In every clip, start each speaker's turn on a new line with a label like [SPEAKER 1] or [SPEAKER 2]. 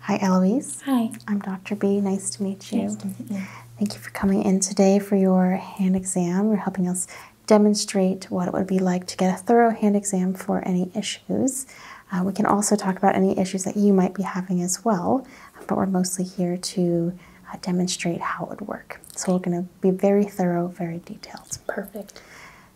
[SPEAKER 1] Hi, Eloise. Hi. I'm Dr. B. Nice to meet you. Thank you for coming in today for your hand exam. You're helping us demonstrate what it would be like to get a thorough hand exam for any issues. Uh, we can also talk about any issues that you might be having as well, uh, but we're mostly here to uh, demonstrate how it would work. So we're going to be very thorough, very detailed. Perfect.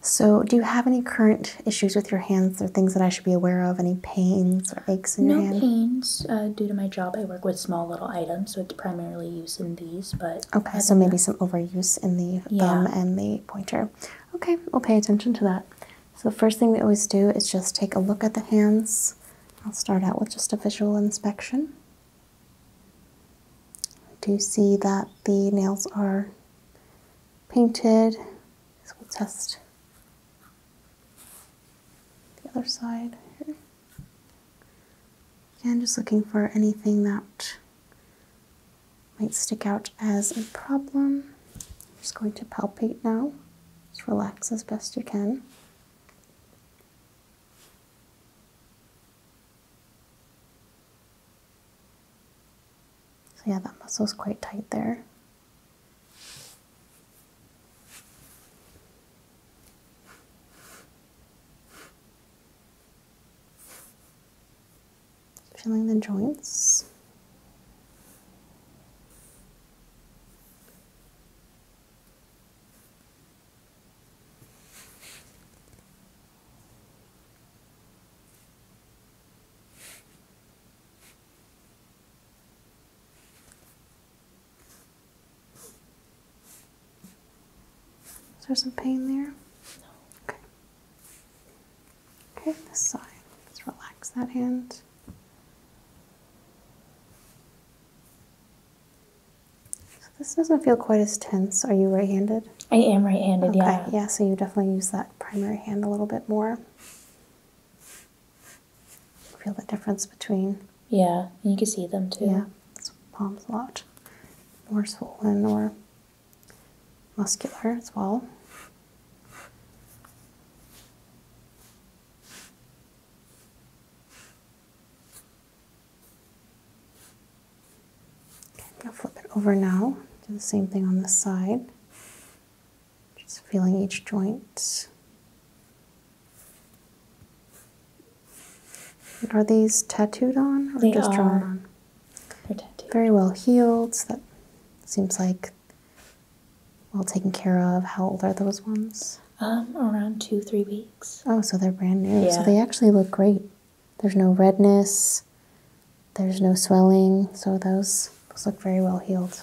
[SPEAKER 1] So do you have any current issues with your hands or things that I should be aware of? Any pains or aches in no your hand? No pains. Uh, due to my job, I work with small little items, so it's primarily used in these. But Okay, so maybe some overuse in the thumb and the pointer. Okay, we'll pay attention to that. So the first thing we always do is just take a look at the hands. I'll start out with just a visual inspection. I do see that the nails are painted, so we'll test the other side here. Again, just looking for anything that might stick out as a problem. I'm just going to palpate now. Just relax as best you can. So yeah, that muscle is quite tight there. Feeling the joints. Is there some pain there? No. Okay. Okay, this side. Let's relax that hand this doesn't feel quite as tense. Are you right-handed? I am right-handed, yeah. Yeah, so you definitely use that primary hand a little bit more. Feel the difference between. Yeah, you can see them too. Yeah, palm's a lot more swollen more muscular as well. I'm going to flip it over now. Do the same thing on the side. Just feeling each joint. are these tattooed on or just drawn on? They're tattooed. Very well healed. So that seems like well taken care of. How old are those ones? Um, around two, three weeks. Oh, so they're brand new. Yeah. So they actually look great. There's no redness. There's no swelling. So those, those look very well healed.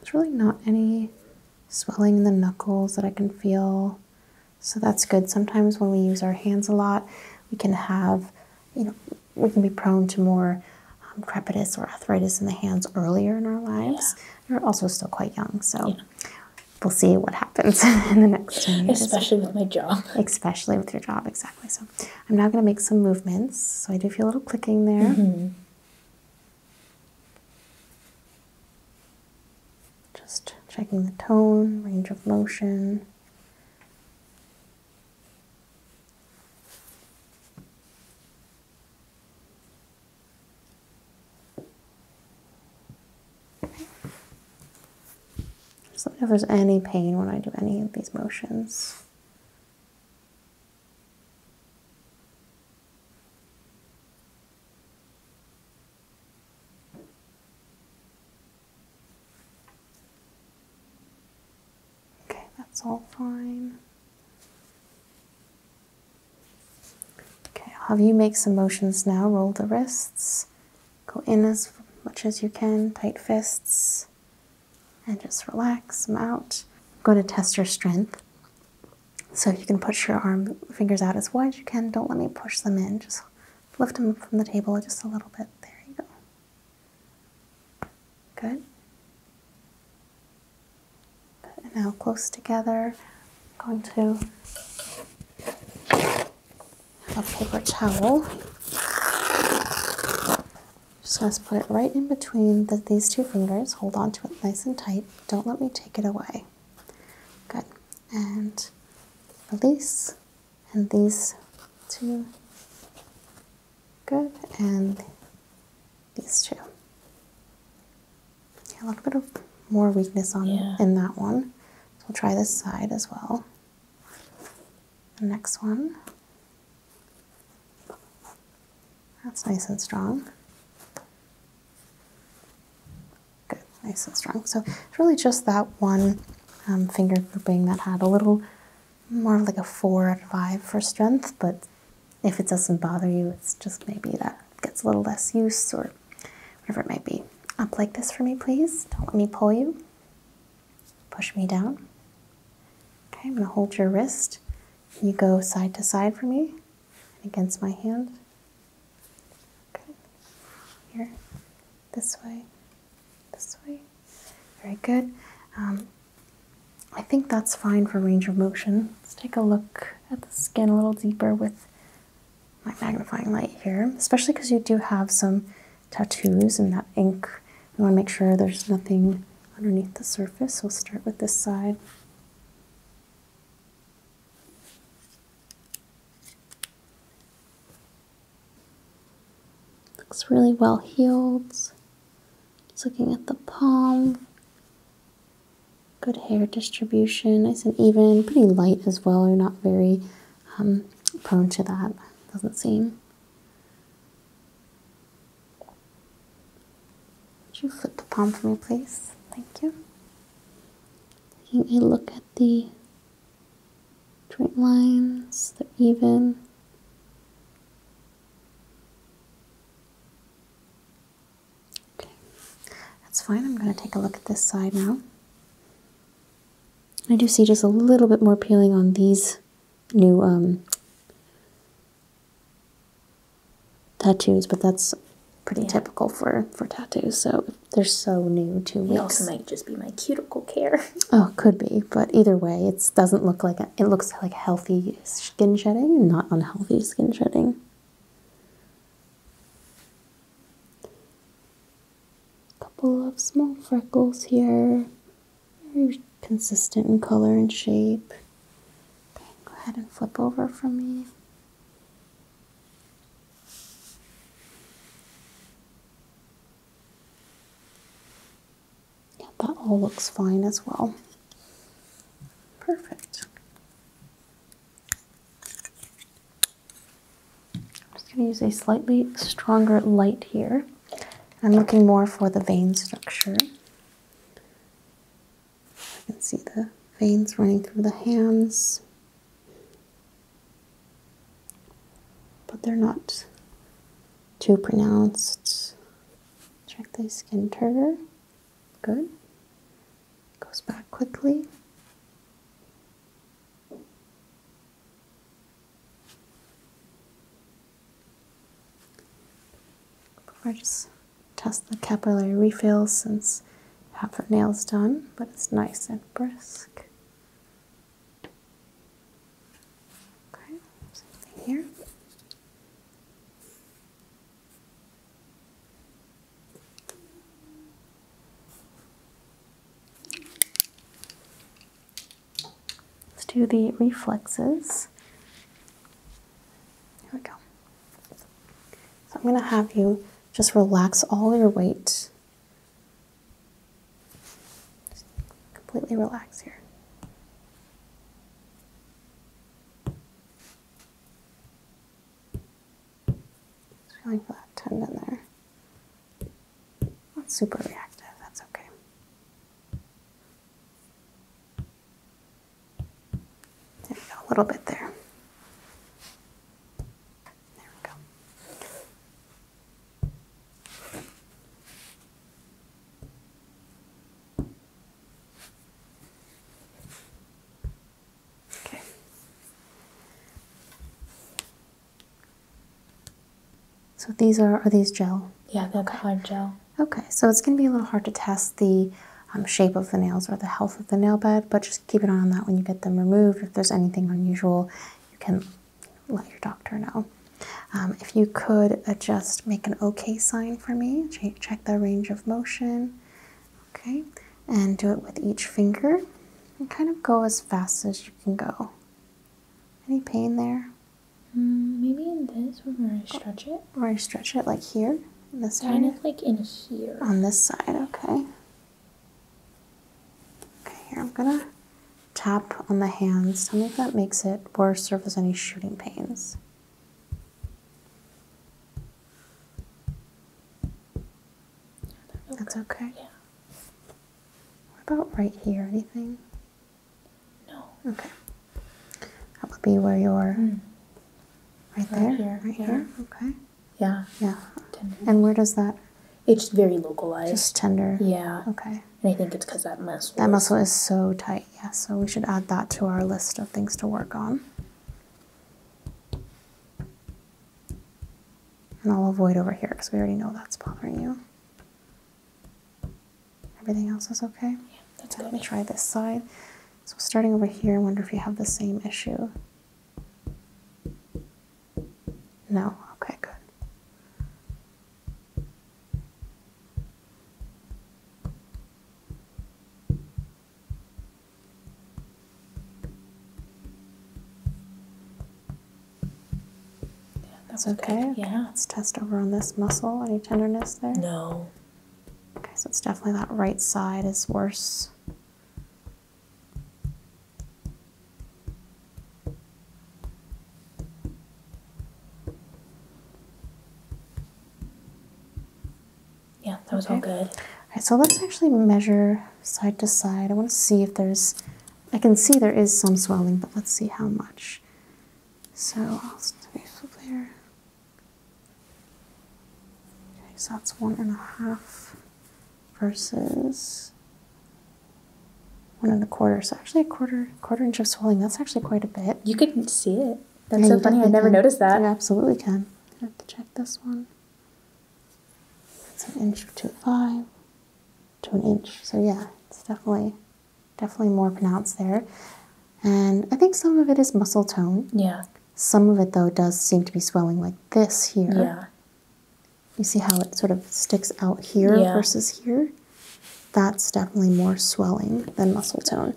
[SPEAKER 1] There's really not any swelling in the knuckles that I can feel. So that's good. Sometimes when we use our hands a lot, we can have, you know, we can be prone to more um, crepitus or arthritis in the hands earlier in our lives. We're also still quite young, so we'll see what happens in the next ten years. Especially with my job. Especially with your job, exactly. So I'm now going to make some movements. So I do feel a little clicking there. Mm-hmm. Just checking the tone, range of motion. Okay. let me know if there's any pain when I do any of these motions. Okay, that's all fine. Okay, I'll have you make some motions now. Roll the wrists. Go in as much as you can, tight fists, and just relax them out. I'm going to test your strength. So you can push your arm fingers out as wide as you can. Don't let me push them in. Just lift them from the table just a little bit. There you go. Good. Good. Now close together. I'm going to have a paper towel. Just going to put it right in between these two fingers. Hold on to it nice and tight. Don't let me take it away. Good. And release. And these two. Good. And these two. Yeah, a little bit of more weakness on in that one. So we'll try this side as well. The next one. That's nice and strong. Good, nice and strong. So it's really just that one um, finger grouping that had a little more of like a four out of five for strength, but if it doesn't bother you, it's just maybe that gets a little less use or whatever it might be. Up like this for me, please. Don't let me pull you. Push me down. Okay, I'm going to hold your wrist. You go side to side for me against my hand. Okay, here, this way, this way. Very good. Um, I think that's fine for range of motion. Let's take a look at the skin a little deeper with my magnifying light here, especially because you do have some tattoos and that ink. We want to make sure there's nothing underneath the surface. We'll start with this side. Looks really well healed. It's looking at the palm. Good hair distribution, nice and even, pretty light as well. You're not very um, prone to that, doesn't seem. Would you flip the palm for me, please? Thank you. Taking a look at the joint lines, they're even that's fine. I'm going to take a look at this side now. I do see just a little bit more peeling on these new um, tattoos, but that's pretty typical for, for tattoos, so they're so new to weeks. It also might just be my cuticle care. oh, could be, but either way, it doesn't look like, it looks like healthy skin shedding, not unhealthy skin shedding. A couple of small freckles here, very consistent in color and shape. go ahead and flip over for me. Yeah, that all looks fine as well. Perfect. I'm just going to use a slightly stronger light here. I'm looking more for the vein structure. I can see the veins running through the hands, but they're not too pronounced. Check the skin turgor. Good. Goes back quickly. Before I just test the capillary refill since half the nail's done, but it's nice and brisk. Okay, something here. Let's do the reflexes. Here we go. So I'm going to have you just relax all your weight. Just completely relax here. I like that tendon there. Not super reactive, that's okay. There we go, a little bit there. There we go. So these are are these gel? Yeah, they're okay. colored gel. Okay, so it's going to be a little hard to test the um, shape of the nails or the health of the nail bed, but just keep an eye on that when you get them removed. If there's anything unusual, you can let your doctor know. Um, if you could uh, just make an okay sign for me, check the range of motion. Okay, and do it with each finger and kind of go as fast as you can go. Any pain there? Mm, maybe in this where I stretch it. Where I stretch it, like here, in this kind of like in here. On this side, okay. Okay, here I'm gonna tap on the hands. Tell me if that makes it worse or if there's any shooting pains. That's okay. Yeah. What about right here? Anything? No. Okay. That would be where you're. Mm. Right, there. Here. Right yeah. here. Okay. Yeah. Yeah. Tender. And where does that? It's very localized. Just tender. Yeah. Okay. And I think it's because that muscle. That muscle is so tight. Yes, so we should add that to our list of things to work on. And I'll avoid over here because we already know that's bothering you. Everything else is okay? Let me try this side. So starting over here, I wonder if you have the same issue. No, okay, good. Yeah, that's okay. Yeah. Let's test over on this muscle. Any tenderness there? No. Okay, so it's definitely that right side is worse. Yeah, that was all good. All right, so let's actually measure side to side. I want to see if there's, I can see there is some swelling, but let's see how much. So I'll flip there. Okay, so that's one and a half versus one and a quarter. So actually a quarter quarter inch of swelling. That's actually quite a bit. You could see it. That's so funny. I never noticed that. You absolutely can. I have to check this one. It's an inch to five to an inch. So yeah, it's definitely definitely more pronounced there. And I think some of it is muscle tone. Yeah. Some of it though does seem to be swelling like this here. Yeah. You see how it sort of sticks out here versus here? That's definitely more swelling than muscle tone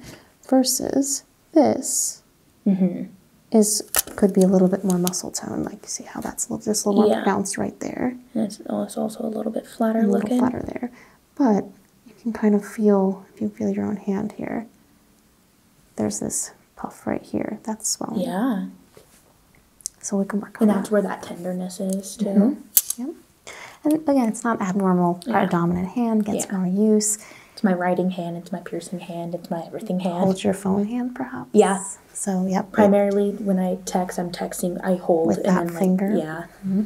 [SPEAKER 1] versus this mm-hmm. is could be a little bit more muscle tone. Like see how that's just a little more pronounced right there. it's, also a little bit flatter a little flatter there, but you can kind of feel if you feel your own hand here. There's this puff right here. That's swelling. Yeah. So we can work on. And that's that. where that tenderness is too. Mm-hmm. Yep. And again, it's not abnormal. Yeah. Our dominant hand gets more use. It's my writing hand, it's my piercing hand, it's my everything hand. Hold your phone hand, perhaps? Yeah. So, yep. Primarily when I text, I'm texting, I hold. that finger? yeah. Mm-hmm.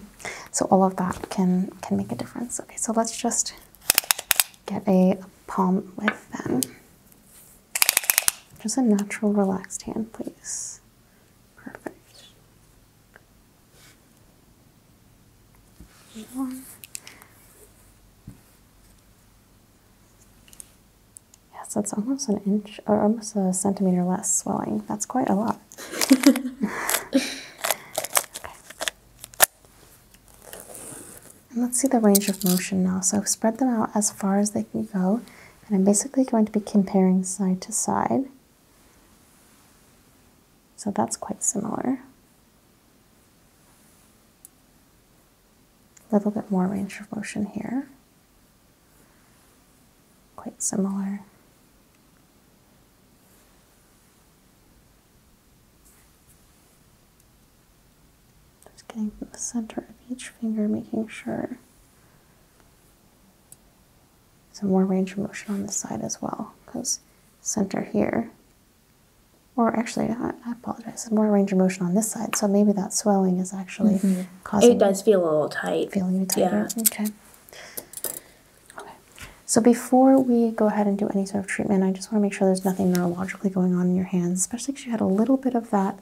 [SPEAKER 1] So all of that can, can make a difference. Okay, so let's just get a palm with them. Just a natural, relaxed hand, please. Perfect. Yes, that's almost an inch or almost a centimeter less swelling. That's quite a lot. okay. And let's see the range of motion now. So I've spread them out as far as they can go, and I'm basically going to be comparing side to side. So that's quite similar. A little bit more range of motion here. Quite similar. Just getting from the center of each finger, making sure some more range of motion on this side as well, because center here or actually, I, I apologize. More range of motion on this side, so maybe that swelling is actually mm-hmm. causing. It does feel a little tight. Feeling it tighter. Yeah. Okay. Okay. So before we go ahead and do any sort of treatment, I just want to make sure there's nothing neurologically going on in your hands, especially because you had a little bit of that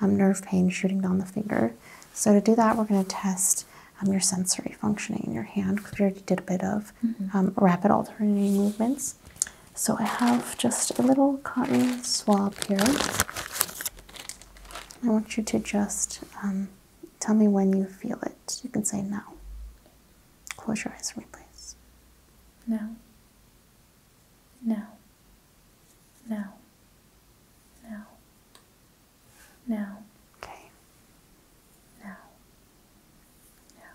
[SPEAKER 1] um, nerve pain shooting down the finger. So to do that, we're going to test um, your sensory functioning in your hand because we already did a bit of um, rapid alternating movements. So I have just a little cotton swab here. I want you to just um, tell me when you feel it. You can say now. Close your eyes for me, please. Now. Now. Now. Now. Now. Okay. Now. Now.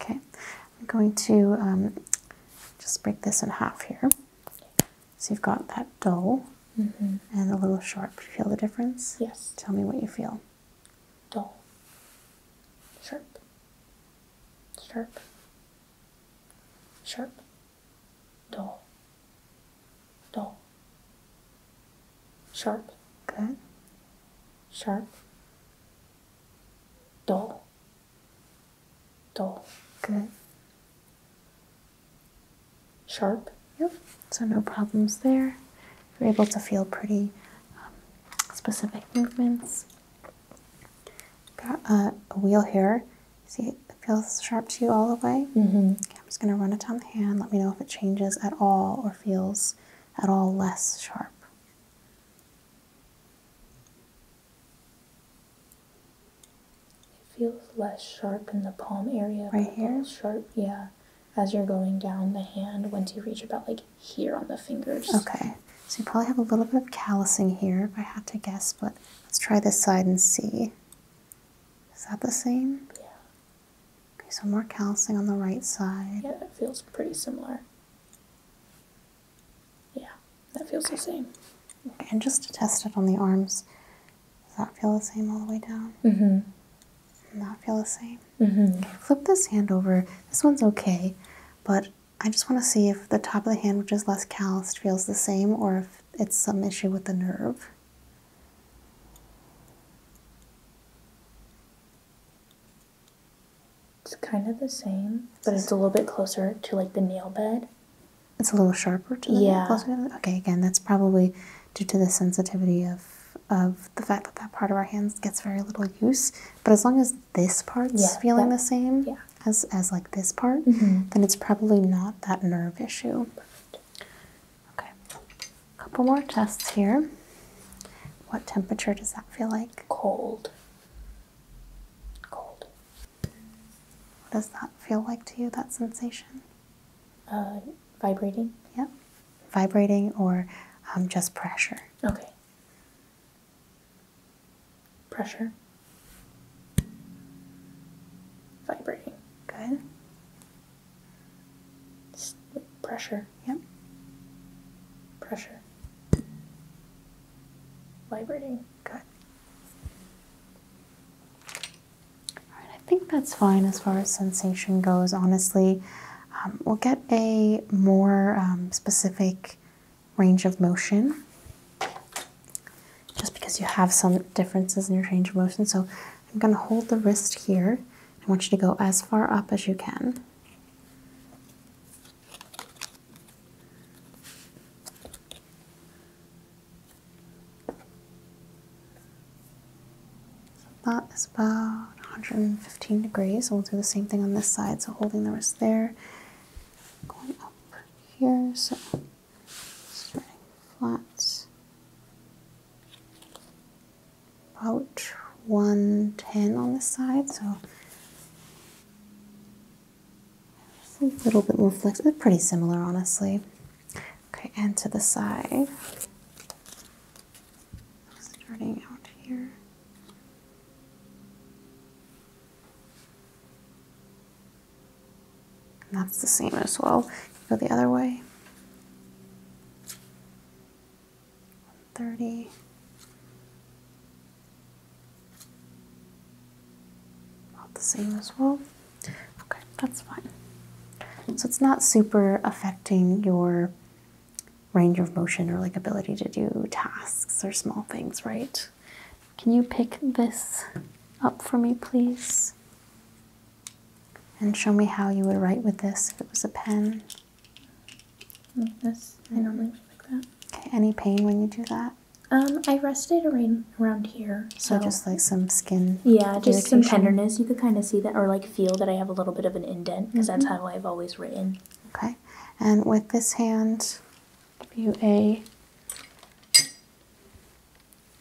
[SPEAKER 1] Okay, I'm going to um, just break this in half here. So you've got that dull mm-hmm. and a little sharp. You feel the difference? Yes. Tell me what you feel. Dull. Sharp. Sharp. Sharp. Dull. Dull. Sharp. Good. Sharp. Dull dull. Good. Sharp. Yep. So no problems there. You're able to feel pretty um, specific movements. Got a wheel here. See, feels sharp to you all the way. Mm-hmm. okay, I'm just going to run it on the hand. Let me know if it changes at all or feels at all less sharp. It feels less sharp in the palm area. Right here? Sharp, yeah. As you're going down the hand, once you reach about like here on the fingers. Okay. So you probably have a little bit of callousing here if I had to guess, but let's try this side and see. Is that the same? Yeah. Okay, so more callousing on the right side. Yeah, it feels pretty similar. Yeah, that feels the same. Okay, and just to test it on the arms, does that feel the same all the way down? Mm-hmm. Not feel the same. Mm-hmm. flip this hand over. This one's okay, but I just want to see if the top of the hand, which is less calloused, feels the same, or if it's some issue with the nerve. It's kind of the same, but it's a little bit closer to like the nail bed. It's a little sharper to the yeah. closer okay. Again, that's probably due to the sensitivity of of the fact that that part of our hands gets very little use. But as long as this part's feeling the same as as like this part, mm-hmm. then it's probably not that nerve issue. Okay, a couple more tests here. What temperature does that feel like? Cold. Cold. What does that feel like to you, that sensation? Uh, vibrating? Yeah. Vibrating or um, just pressure? Okay. Pressure. Vibrating. Good. pressure. Yep. Pressure. Vibrating. Good. I think that's fine as far as sensation goes, honestly. Um, we'll get a more um, specific range of motion just because you have some differences in your range of motion. So I'm going to hold the wrist here. I want you to go as far up as you can. That is about 115 degrees. We'll do the same thing on this side. So holding the wrist there, going up here. So starting flat, about 110 on this side. So a little bit more flexible. Pretty similar, honestly. Okay, and to the side. Starting out here. that's the same as well. Go the other way. 130. About the same as well. Okay, that's fine. So it's not super affecting your range of motion or like ability to do tasks or small things, right? Can you pick this up for me, please? And show me how you would write with this if it was a pen. Like this. I normally like that. Okay, any pain when you do that? Um, I rested around here. So, just like some skin. Yeah, just some tenderness. You could kind of see that, or like feel that I have a little bit of an indent because that's mm-hmm. how I've always written. Okay, and with this hand, give you a.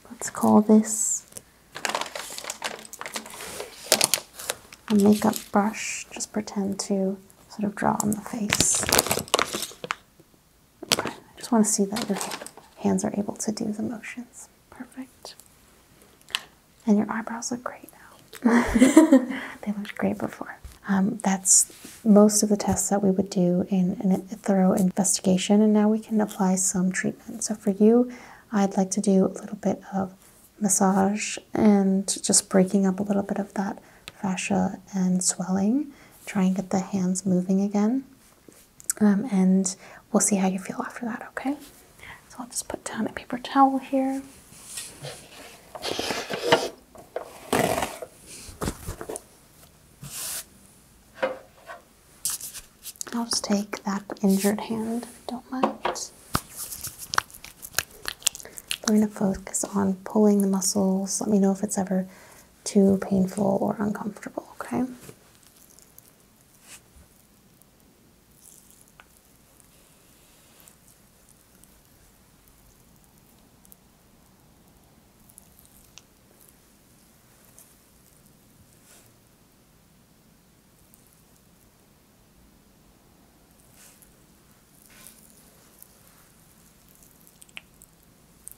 [SPEAKER 1] Let's call this a makeup brush. Just pretend to sort of draw on the face. I just want to see that your hands are able to do the motions. Perfect. And your eyebrows look great now. they looked great before. Um, that's most of the tests that we would do in a thorough investigation, and now we can apply some treatment. So for you, I'd like to do a little bit of massage and just breaking up a little bit of that fascia and swelling try and get the hands moving again. Um, and we'll see how you feel after that, okay? So I'll just put down a paper towel here. I'll just take that injured hand don't mind. We're going to focus on pulling the muscles. Let me know if it's ever too painful or uncomfortable, okay?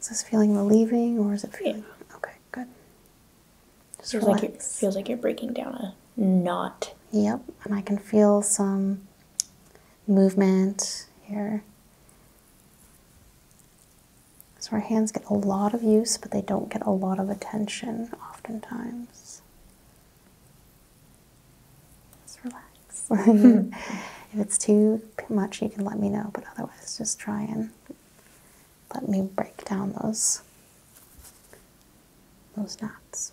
[SPEAKER 1] Is this feeling relieving or is it feeling okay? Good. Just relax. feels like you're breaking down a knot. Yep, and I can feel some movement here. So our hands get a lot of use, but they don't get a lot of attention oftentimes. Just relax. if it's too much, you can let me know, but otherwise, just try and let me break down those those knots.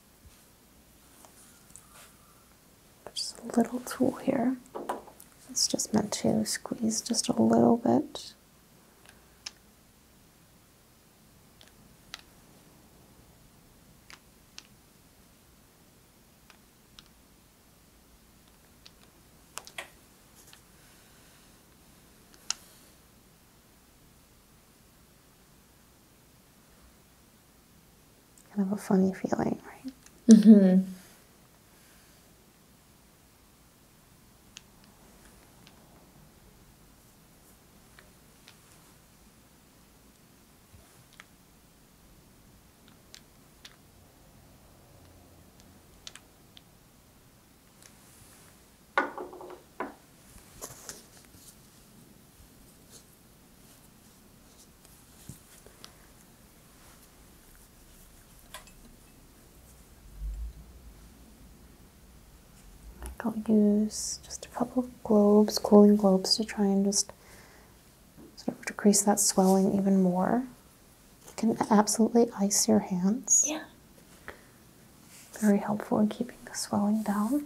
[SPEAKER 1] Just a little tool here. It's just meant to squeeze just a little bit kind of a funny feeling, right? Mm-hmm. I'll use just a couple globes, cooling globes, to try and just sort of decrease that swelling even more. You can absolutely ice your hands. Yeah. Very helpful in keeping the swelling down.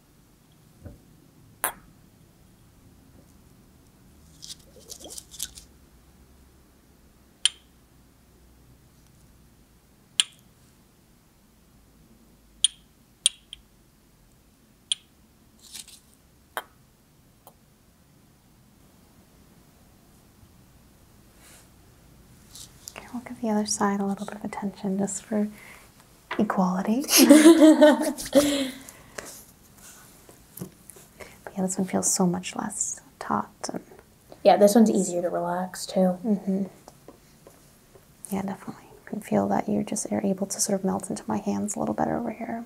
[SPEAKER 1] Okay, we'll give the other side a little bit of attention just for equality. yeah, this one feels so much less taut. And... Yeah, this one's easier to relax too. Mm-hmm. Yeah, definitely. You can feel that you're just you're able to sort of melt into my hands a little better over here.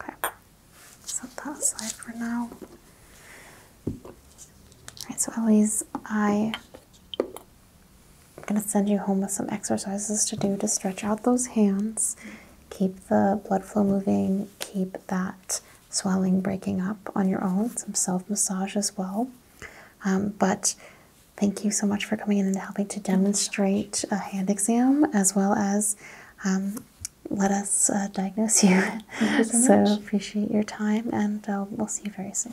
[SPEAKER 1] Okay, set that aside for now. Alright, so Elise, I I'm going to send you home with some exercises to do to stretch out those hands keep the blood flow moving, keep that swelling breaking up on your own, some self massage as well. Um, but thank you so much for coming in and helping to demonstrate a hand exam as well as um, let us uh, diagnose you. so, appreciate your time and uh, we'll see you very soon.